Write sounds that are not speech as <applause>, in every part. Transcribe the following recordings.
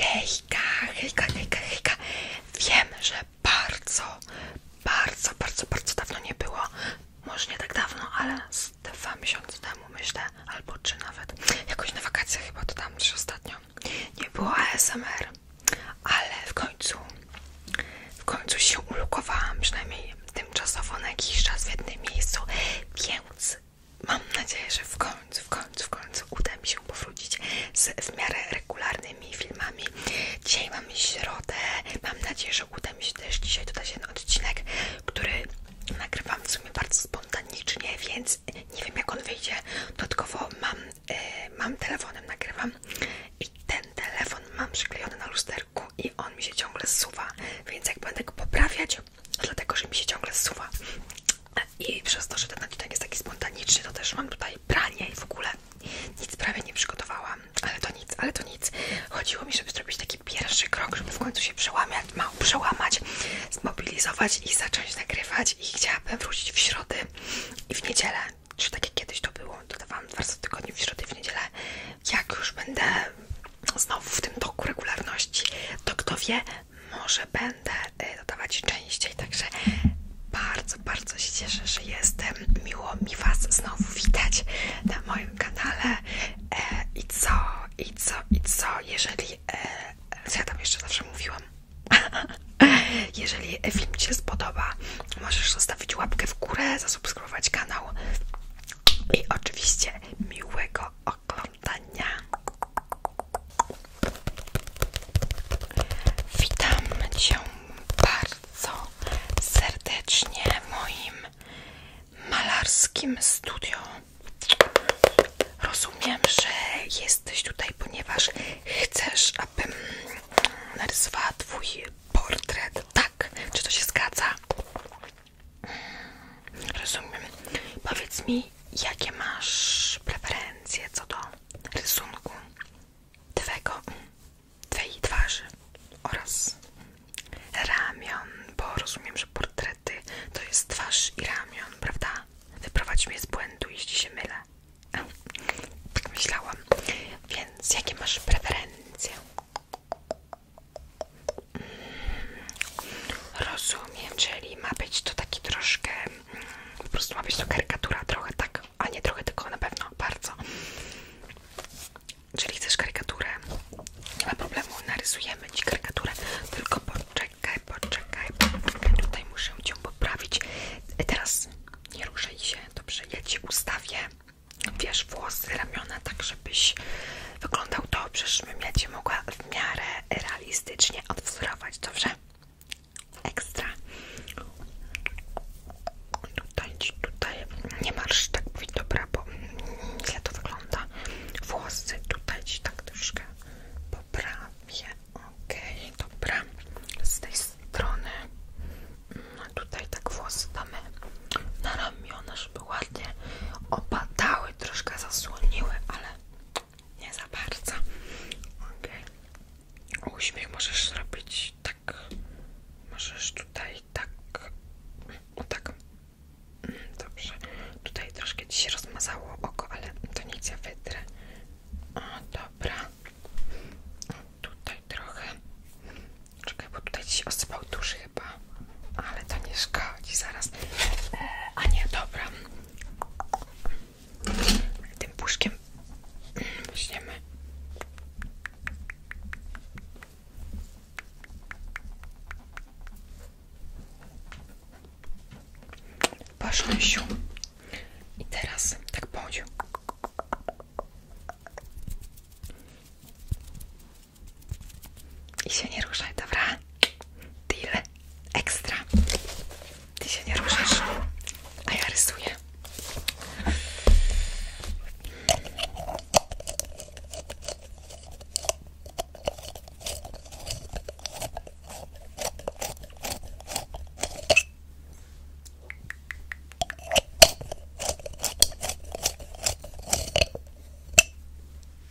Hejka, hejka, hejka, hejka. Wiem, że bardzo, bardzo, bardzo, bardzo dawno nie było. Może nie tak dawno, ale z dwa miesiące temu myślę, albo czy nawet jakoś na wakacjach chyba to tam też ostatnio. Nie było ASMR, ale w końcu, w końcu się ulokowałam, przynajmniej tymczasowo na jakiś czas w jednym miejscu, więc Mam nadzieję, że w końcu, w końcu, w końcu uda mi się powrócić z w miarę regularnymi filmami. Dzisiaj mamy środę. Mam nadzieję, że uda mi się też dzisiaj dodać jeden odcinek, który nagrywam w sumie bardzo spontanicznie, więc nie wiem jak on wyjdzie. Dodatkowo mam, yy, mam telefonem, nagrywam i ten telefon mam przyklejony na lusterku i on mi się ciągle suwa, więc jak będę go poprawiać, dlatego że mi się ciągle zsuwa. I przez to, że ten odcinek jest taki spontaniczny, to też mam tutaj pranie i w ogóle nic prawie nie przygotowałam, ale to nic, ale to nic. Chodziło mi, żeby zrobić taki pierwszy krok, żeby w końcu się przełamać, mało przełamać, zmobilizować i zacząć nagrywać. I chciałabym wrócić w środę i w niedzielę, czy tak jak kiedyś to było, dodawałam dwa bardzo w tygodniu, w środę i w niedzielę. Jak już będę znowu w tym toku regularności, to kto wie, może będę y, dodawać częściej, także bardzo, bardzo się cieszę, że jestem. Miło mi Was znowu widać na moim kanale. E, I co, i co, i co, jeżeli... E, co ja tam jeszcze zawsze mówiłam? <laughs> jeżeli film Ci się spodoba, możesz zostawić łapkę w górę, zasubskrybować kanał i oczywiście miłego oglądania. Witam Cię bardzo serdecznie w moim malarskim studio. Rozumiem, że jesteś tutaj, ponieważ chcesz, abym narysowała Twój portret. Tak, czy to się zgadza? Rozumiem. Powiedz mi, jakie masz preferencje co do rysunku twego, twojej twarzy oraz ramion, bo rozumiem, że portrety to jest twarz i ramion, prawda? Wyprowadź mnie z błędu, jeśli się mylę. Tak myślałam. Więc jakie masz preferencje? Mm. Rozumiem, czyli ma być to taki troszkę, mm, po prostu ma być to karykatura trochę, tak, a nie trochę, tylko na pewno bardzo. Czyli chcesz karykaturę, nie ma problemu, narysujemy Ci karykaturę, tylko poczekaj, poczekaj, tutaj muszę Cię poprawić. Teraz nie ruszaj się, dobrze, ja Ci ustawię, wiesz, włosy, ramiona, tak żebyś wyglądał dobrze, żebym ja Cię mogła w miarę realistycznie odwzorować, dobrze? Ekstra. Tutaj, tutaj nie masz tak mówić, dobra, bo źle to wygląda. Włosy tutaj ci tak troszkę poprawię. Okej, dobra. Z tej strony mm, tutaj tak włosy damy na ramiona, żeby ładnie opadały, troszkę zasłoniły, ale nie za bardzo. Okej. Uśmiech możesz zrobić tak. Możesz tutaj tak. no tak. Mm, dobrze. Tutaj troszkę ci rozmazało oko, ale to nic, ja wytrę. O, dobra. Tutaj trochę. Czekaj, bo tutaj ci się osypał duży chyba. Ale to nie szkodzi, zaraz. E, a nie, dobra. Tym puszkiem weźmiemy. Pasząsiu. I teraz tak bądź. I się nie ruszaj, dobra? Deal. Ekstra. Ty się nie ruszysz, a ja rysuję.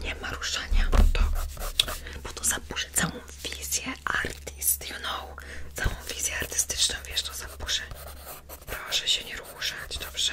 nie, nie ma ruszania, bo to, zaburzy całą wizję artyst, you know, całą wizję artystyczną, wiesz, to zaburzy. Proszę się nie ruszać, dobrze?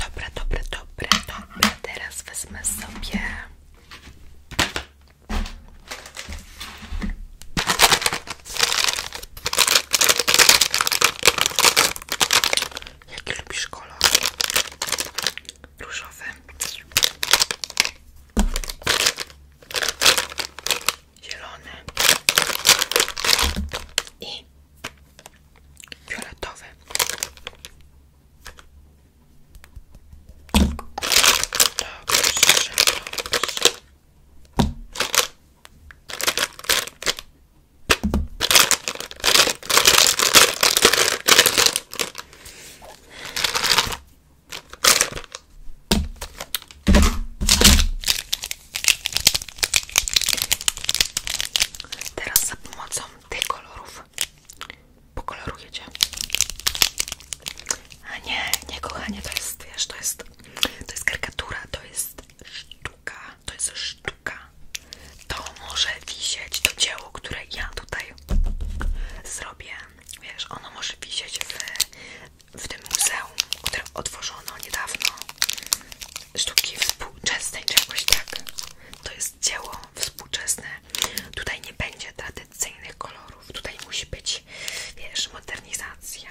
Dobra, dobra, dobra, dobra. Teraz wezmę sobie Jakie lubisz kolor? Różowy. zielone I fioletowy. Teraz za pomocą tych kolorów pokolorujecie. A nie, nie kochanie, to jest, wiesz, to jest to jest karykatura, to jest sztuka, to jest sztuka. To może wisieć, to dzieło, które ja tutaj zrobię. Wiesz, ono może wisieć w, w tym muzeum, które otworzono niedawno. Sztuki współczesnej czegoś tak. To jest dzieło współczesne. Tutaj nie będzie tradycyjnych kolorów. Tutaj musi być, wiesz, modernizacja.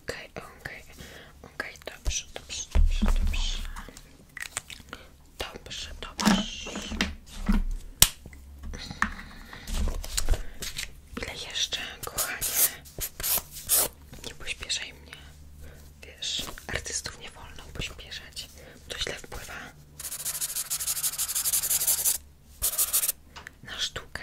OK, OK, OK, dobrze, dobrze, dobrze, dobrze. Dobrze, dobrze. Ile jeszcze, kochanie? Nie pośpieszaj mnie. Wiesz, artystów nie wolno pośpieszać. To źle wpływa na sztukę.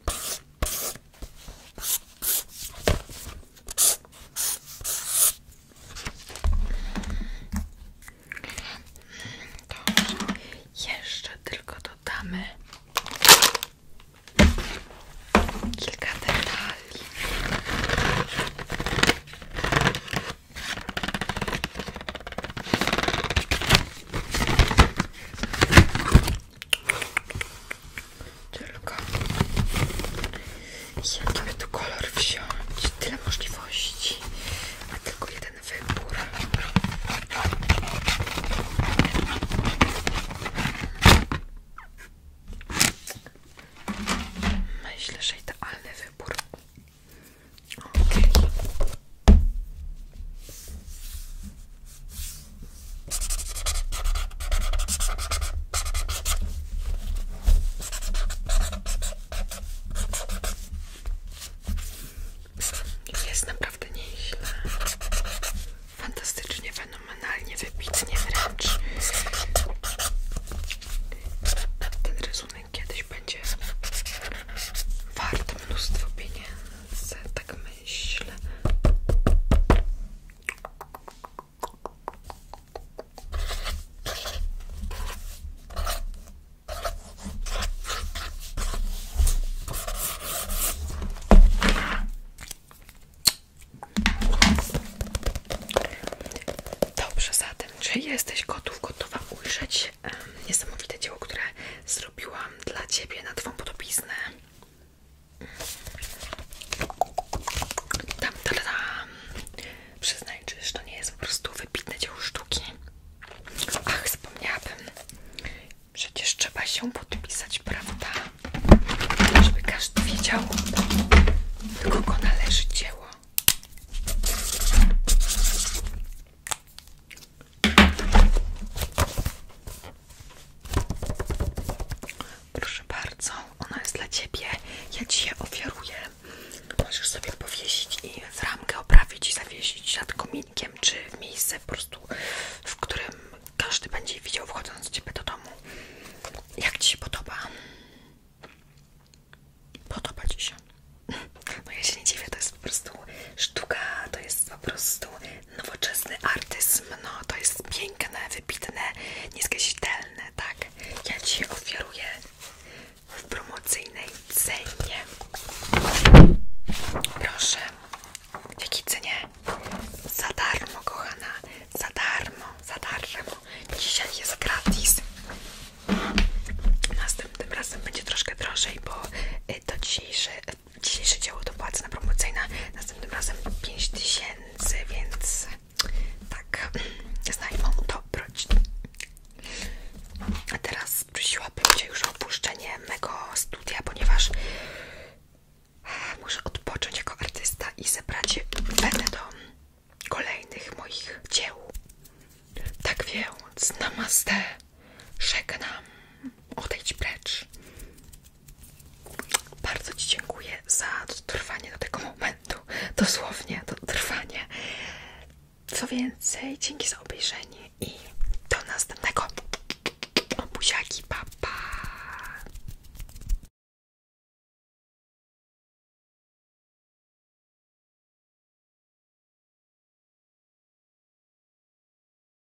Dobrze. Jeszcze tylko dodamy kilka detali. Tylko jaki by tu kolor wziąć? Tyle możliwości, a tylko jeden wybór. Myślę, że idealny wybór. Okay. Jest naprawdę nieźle. Fantastycznie, fenomenalnie, wybitnie wręcz. Ten rysunek kiedyś będzie wart mnóstwo pieniędzy, tak myślę myśl. Dobrze, zatem, czy jesteś gotów, gotowa ujrzeć um, niesamowite dzieło, które zrobiłam dla Ciebie na Twą podobiznę? Tam, tam, tam. Przyznaj, czyż to nie jest po prostu wybitne dzieło sztuki. Ach, wspomniałabym. Przecież trzeba się podpisać, prawda? Żeby każdy wiedział, do kogo należy dzieło. Proszę bardzo, ona jest dla Ciebie. Ja Ci je ofiaruję. Możesz sobie powiesić i w ramkę oprawić i zawiesić nad kominkiem, czy w miejsce po prostu, w którym każdy będzie widział wchodząc z Ciebie do domu. Jak Ci się podoba? Podoba Ci się? No ja się nie dziwię, to jest po prostu sztuka, to jest po prostu nowoczesny artyzm, no to jest piękne, wybitne, nieskazitelne, tak? Ja Ci ofiaruję w promocyjnej cenie. Proszę, w jakiej Za darmo, kochana, za darmo, za darmo. Dzisiaj jest gratis. Następnym razem będzie troszkę drożej, bo y, to dzisiejszy dzisiejsze dzieło to była cena promocyjna, następnym razem 5000, więc tak, znajmę to broć. A teraz prosiłabym Cię już o opuszczenie mego studia, ponieważ muszę odpocząć jako artysta i zebrać będę do kolejnych moich dzieł. Tak więc, namaste, Szeknam, odejdź precz. Bardzo Ci dziękuję za dotrwanie do tego momentu. Dosłownie dotrwanie. Co więcej, dzięki za obejrzenie i do następnego. Buziaki, pa,